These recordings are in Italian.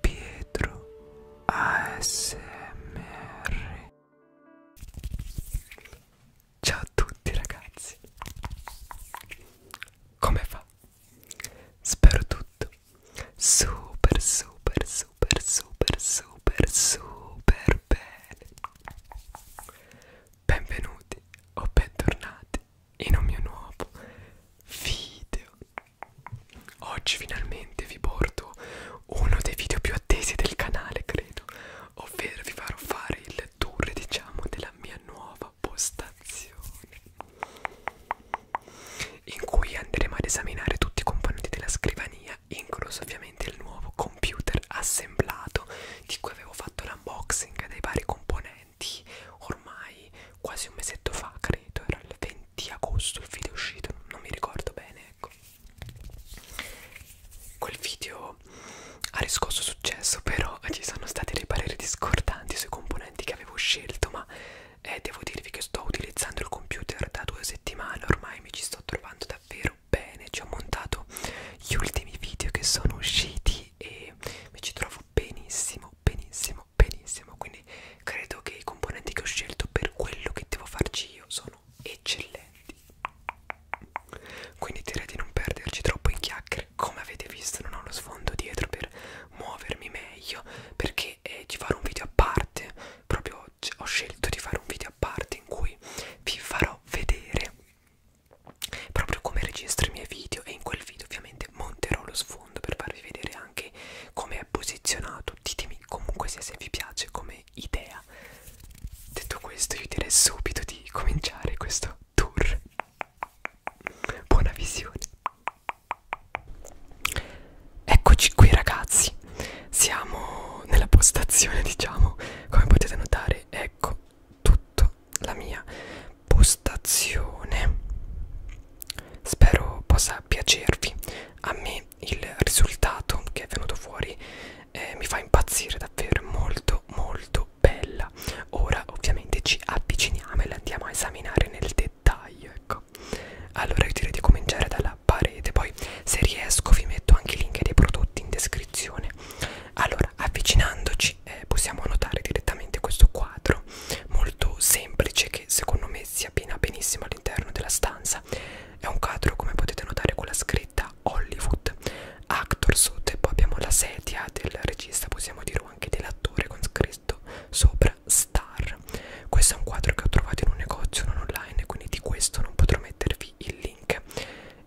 Pietro ASMR Ciao a tutti ragazzi Come va? Spero tutto super super super super super super bene Benvenuti o bentornati in un mio nuovo video oggi finalmente vi porto uno dei video più attesi del canale credo ovvero vi farò fare il tour diciamo della mia nuova postazione in cui andremo ad esaminare tutti i componenti della scrivania incluso ovviamente il nuovo computer assemblato di cui avevo fatto l'unboxing dei vari componenti eventi ormai quasi un mesetto fa credo era il 20 agosto il video è uscito non mi ricordo bene ecco quel video ha riscosso successo però ci sono stati dei pareri discordanti sui componenti che avevo scelto ma eh, devo dirvi che sto utilizzando il computer da due settimane ormai mi ci sto trovando davvero bene ci ho montato gli ultimi video che sono usciti e mi ci trovo benissimo benissimo vanno benissimo quindi credo che i componenti che ho scelto per quello che devo farci io sono eccellenti quindi direi di non perderci troppo in chiacchiere come avete visto non ho lo sfondo dietro per muovermi meglio perché eh, ci farò un video a parte proprio ho scelto di fare un video a parte in cui vi farò vedere proprio come registro i miei video e in quel video ovviamente ovviamente monterò lo sfondo per farvi vedere anche come è posizionato ditemi comunque se, se vi piace come idea detto questo io direi subito di cominciare questo tour buona visione eccoci qui ragazzi siamo nella postazione diciamo come potete notare ecco tutta la mia postazione spero possa piacervi a me il risultato che è venuto fuori eh, mi fa impazzire davvero molto molto bella ora ovviamente ci avviciniamo e la andiamo a esaminare nel dettaglio ecco allora io direi di cominciare dalla parete poi se riesco vi metto anche i link dei prodotti in descrizione allora avvicinandoci e eh, possiamo notare direttamente questo quadro molto semplice che secondo me si abbina benissimo all'interno della stanza è un quadro come potete notare con la scritta Hollywood Actor sotto e poi abbiamo la sedia del regista possiamo dirlo anche dell'attore con scritto sopra Star questo è un quadro che ho trovato in un negozio non online quindi di questo non potrò mettervi il link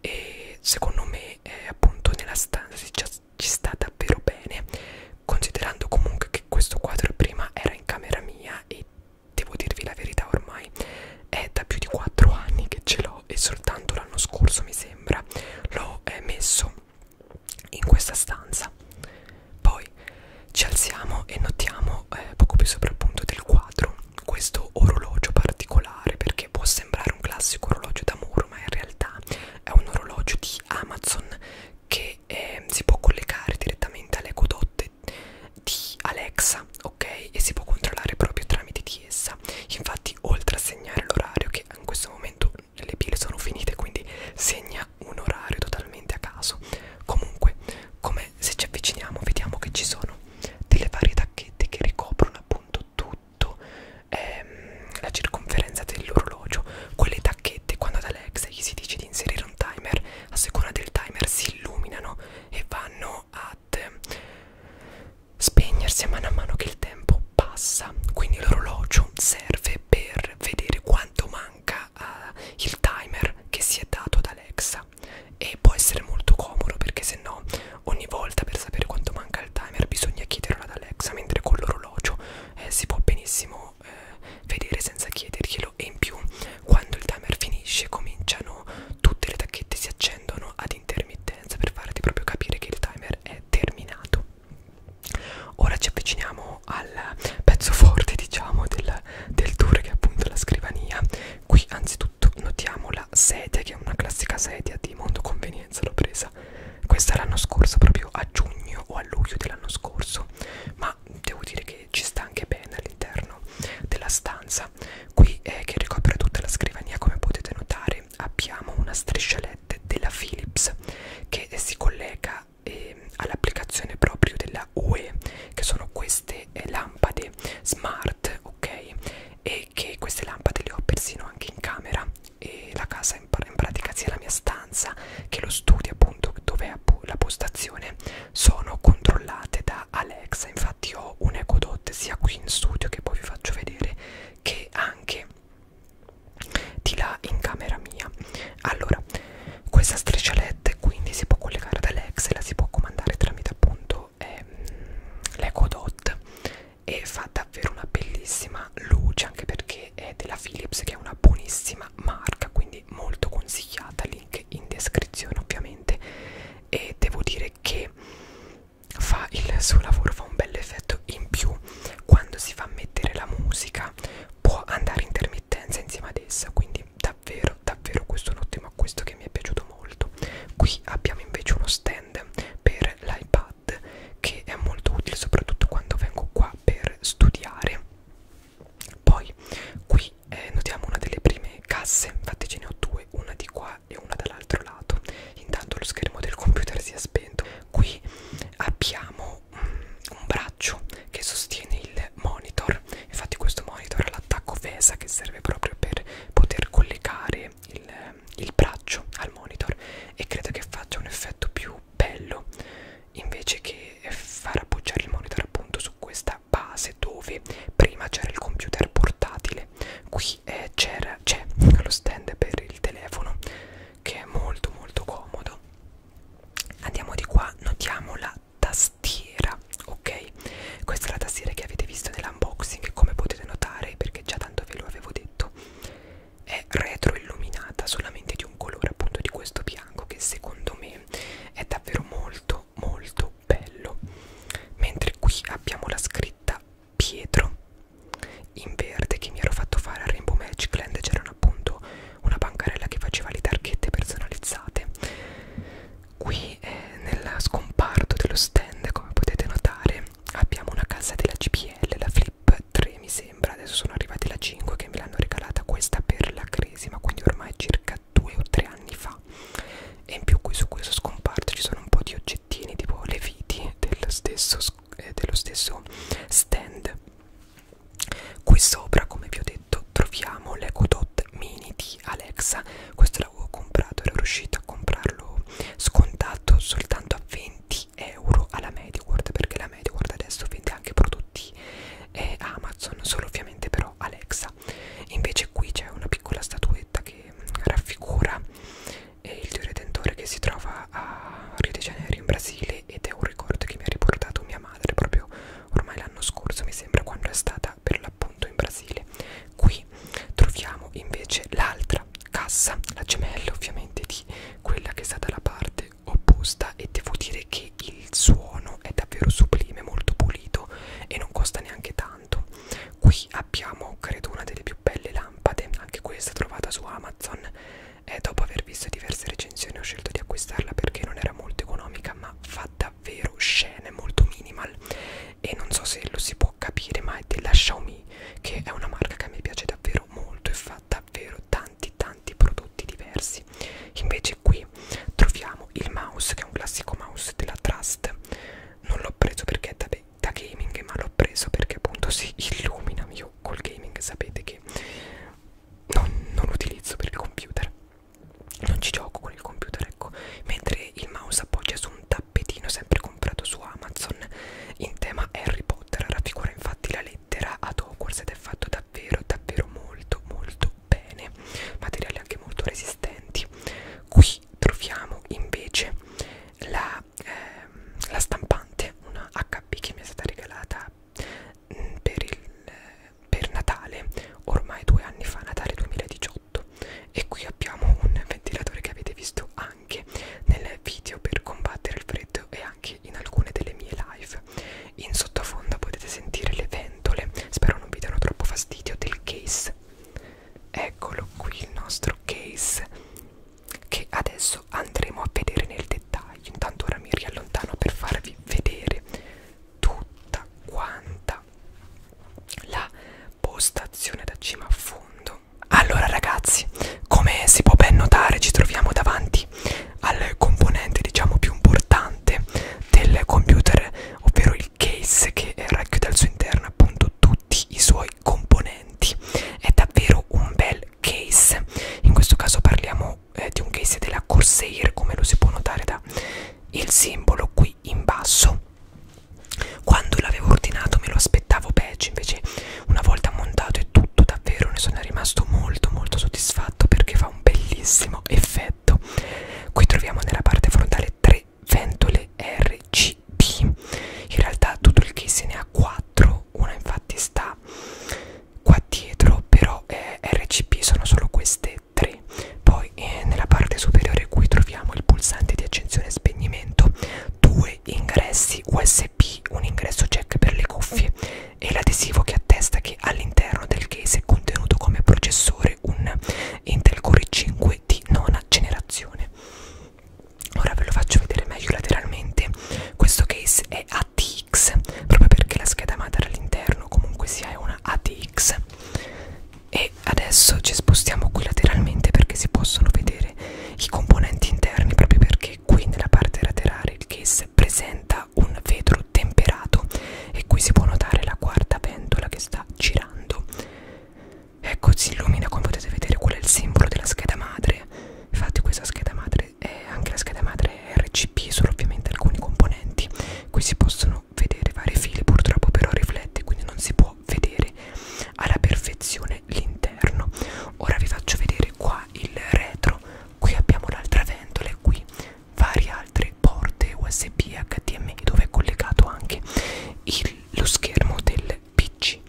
e secondo me eh, appunto nella stanza si, ci sta davvero bene considerando comunque che questo quadro prima era in camera mia e devo dirvi la verità ormai è da più di 4 anni che ce l'ho e soltanto l'anno scorso mi sembra l'ho eh, messo in questa stanza poi ci alziamo e notiamo eh, poco più sopra appunto del quadro questo orologio particolare perché può sembrare un classico orologio da muro ma in realtà è un orologio di Amazon che eh, si può collegare direttamente alle godotte di Alexa, ok? E si può controllare proprio tramite di essa. Infatti, oltre a segnare l'orario, che in questo momento le pile sono finite, quindi segna un orario totalmente a caso. Comunque, come se ci avviciniamo, vediamo che ci sono delle varie tacchette che ricoprono appunto tutto ehm, la circonferenza dell'orologio. Quelle tacchette, quando ad Alexa gli si dice di inserire un timer, a seconda del timer si illuminano e vanno ad spegnersi a mano a mano che il tempo passa. Quindi l'orologio serve per vedere quanto manca uh, il timer che si è dato ad Alexa e può essere molto comodo perché se no ogni volta per sapere quanto manca il timer bisogna chiederlo ad Alexa mentre con l'orologio eh, si può benissimo eh, vedere senza chiederglielo e in più quando il timer finisce cominciano tutte le tacchette si accendono ad intermittenza per farti proprio capire che il timer è terminato ora ci avviciniamo al pezzo forte diciamo del, del tour che è appunto la scrivania qui anzitutto notiamo la sedia che è una classica sedia di mondo convenienza l'ho presa questa l'anno scorso proprio a giugno o a luglio dell'anno scorso ma devo dire che ci sta anche bene all'interno della stanza qui eh, che ricopre tutta la scrivania come potete notare abbiamo una striscialette della Philips che si collega eh, all'applicazione proprio della UE che sono queste eh, lampade smart ok e che queste lampade le ho persino anche in camera e la casa in, in pratica sia la mia stanza che lo studio appunto dove è la postazione sono controllate da Alexa infatti ho un Echo Dot sia qui in studio che poi vi faccio vedere che anche di là in camera mia allora questa striscialette quindi si può collegare ad Alexa e la si può comandare tramite appunto ehm, l'Echo Dot e fa davvero una bellissima luce anche perché è della Philips che è una buonissima marca quindi molto consigliata link in descrizione ovviamente e devo dire che fa il suo lavoro fa un bel effetto in più quando si fa mettere la musica può andare intermittenza insieme ad essa quindi davvero davvero questo è un ottimo acquisto che mi è piaciuto molto qui abbiamo invece uno stand per l'iPad chat che è molto utile soprattutto quando vengo qua per studiare poi qui eh, notiamo una delle prime casse infatti ce ne ho due una di qua e una dall'altro lato intanto lo schermo del computer si è spento qui abbiamo mm, un braccio che sostiene il monitor infatti questo monitor ha l'attacco VESA che serve proprio per poter collegare il, il braccio al monitor e credo che faccia un effetto più bello invece che far appoggiare il monitor appunto su questa base dove prima c'era il computer portatile qui eh, c'era c'è lo stand per il telefono che è molto molto comodo andiamo di qua notiamo la tastiera ok questa è la tastiera che avete visto nell'unboxing come potete notare perché già tanto ve lo avevo detto è retroilluminata solamente di un colore appunto di questo bianco che secondo me è davvero molto molto bello mentre qui abbiamo la scritta Pietro in verde che mi ero fatto fare a Rainbow Magic Land c'erano appunto una bancarella che faceva le targhette personalizzate qui eh, nel scomparto dello stand come potete notare abbiamo una casa della GPL la Flip Clip 3 mi sembra, adesso sono arrivati alla 5 che me l'hanno regalata questa per la crisi, ma quindi ormai circa 2 o 3 anni fa. E in più qui su questo scomparto ci sono un po' di oggettini, tipo le viti dello stesso, eh, dello stesso stand. Qui sopra, come vi ho detto, troviamo l'Eco Dot Mini di Alexa. Questo l'avevo comprato, ero riuscito a comprarlo scontato soltanto a 20 euro alla MediaWorld perché la MediaWorld adesso vende anche prodotti eh, Amazon, solo ovviamente però Alexa. Invece qui c'è una piccola statuetta che mm, raffigura eh, il Dio Redentore che si trova a Rio de Janeiro in Brasile ed è un ricordo che mi ha riportato mia madre proprio ormai l'anno scorso, mi sembra, quando è stata per l'appunto in Brasile. Qui troviamo invece l'altra cassa, la gemella ovviamente di quella che è stata la parte opposta e devo dire che il suono è davvero sublime, molto pulito e non costa neanche tanto. Qui abbiamo credo una delle più belle lampade, anche questa trovata su Amazon e eh, dopo aver visto diverse recensioni ho scelto di acquistarla perché non era molto economica ma fa davvero scene molto minimal e non so se lo si può capire ma è della Xiaomi che è una marca che a me piace davvero molto e fa davvero tanti tanti prodotti diversi invece qui troviamo il mouse che è un classico mouse della Trust non l'ho preso perché è da, da gaming ma l'ho preso perché appunto si illumina io col gaming sapete che non, non utilizzo per il computer non ci gioco con il computer ecco mentre il mouse appoggia su un tappetino sempre comprato su Amazon in tema Harry Potter raffigura infatti la lettera lettera ad Hogwarts ed è fatto davvero davvero molto molto bene materiali anche molto resistenti qui troviamo invece la, ehm, la stampante una HP che mi è stata regalata mh, mm, per, il, eh, per Natale ormai due anni fa Natale 2018 e qui abbiamo un ventilatore che avete visto anche anche nel video per combattere il freddo e anche in alcune delle mie live. In sottofondo potete sentire le ventole, spero non vi danno troppo fastidio, del case. Eccolo qui il nostro case che adesso andremo a vedere nel dettaglio. Intanto ora mi riallontano per farvi vedere tutta quanta la postazione da cima a fondo allora ragazzi, come si può ben notare ci troviamo davanti al componente diciamo più importante del computer, ovvero il case che racchiude al suo interno appunto tutti i suoi componenti. È davvero un bel case, in questo caso parliamo eh, di un case della Corsair come lo si può notare da il simbolo qui in basso quando l'avevo ordinato me lo aspettavo peggio invece una volta montato e tutto davvero ne sono rimasto molto molto soddisfatto perché fa un bellissimo effetto qui troviamo nella parte frontale tre ventole RGB in realtà tutto il case ne ha quattro una infatti sta qua dietro però eh, RGB sono solo queste tre poi eh, nella parte superiore qui troviamo il pulsante di accensione e spegnimento due due ingressi USB, un ingresso jack per le cuffie e l'adesivo che attesta che all'interno del case è contenuto come processore un Intel Core 5 di nona generazione. Ora ve lo faccio vedere meglio lateralmente. Questo case è ATX proprio perché la scheda madre all'interno comunque sia è una ATX. E adesso ci spostiamo qui lateralmente perché si possono vedere i componenti interni proprio perché anche qui nella parte laterale il case presenta un vetro temperato e qui si può notare la quarta pentola che sta girando ecco si illumina come potete vedere quello è il simbolo della scheda madre infatti questa scheda madre è anche la scheda madre RCP solo ovviamente alcuni componenti qui si possono vedere vari fili purtroppo però riflette quindi non si può vedere alla perfezione attenzione l'interno ora vi faccio vedere qua il retro qui abbiamo l'altra ventola e qui varie altre porte usb hdmi dove è collegato anche il, lo schermo del pc e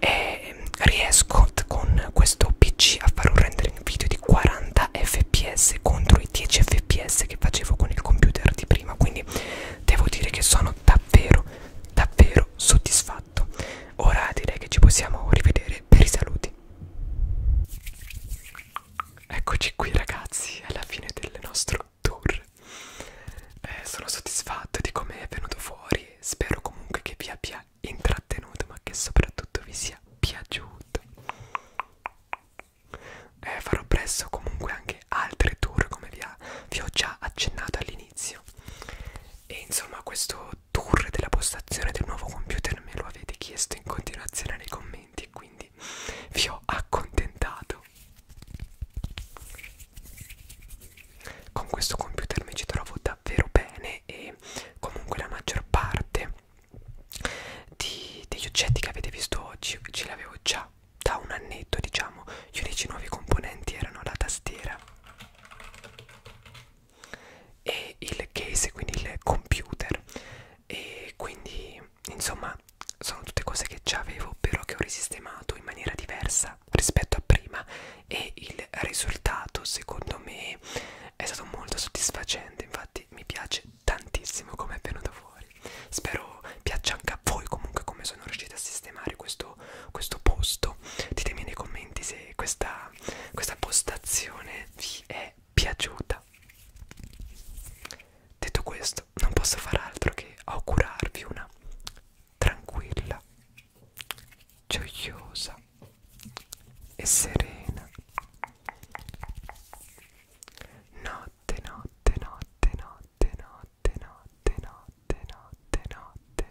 ehm, riesco con questo pc a fare un rendering video di 40 fps contro i 10 fps che facevo con il computer di prima quindi devo dire che sono davvero davvero soddisfatto fatto ora direi che ci possiamo rivedere per i saluti eccoci qui ragazzi alla fine del nostro tour eh, sono soddisfatto di come è venuto fuori spero comunque che vi abbia intrattenuto ma che soprattutto vi sia piaciuto eh, farò presto comunque anche altre tour come vi, ha, vi ho già accennato all'inizio e insomma questo tour della postazione del nuovo computer me lo avete chiesto in continuazione nei commenti e quindi vi ho accontentato con questo computer mi ci trovo davvero bene e comunque la maggior parte di, degli oggetti che avete visto oggi ce l'avevo già da un annetto diciamo gli unici nuovi componenti erano la tastiera e il case, quindi il computer e quindi insomma sono tutte cose che già avevo però che ho risistemato in maniera diversa rispetto a prima e il risultato secondo me è stato molto soddisfacente infatti mi piace tantissimo come è venuto fuori spero piaccia anche a voi comunque come sono riuscita a sistemare questo questo, questo posto ditemi nei commenti se questa, questa postazione vi è piaciuta detto questo non posso far altro che augurarvi una tranquilla gioiosa e serena notte notte notte notte notte notte notte notte notte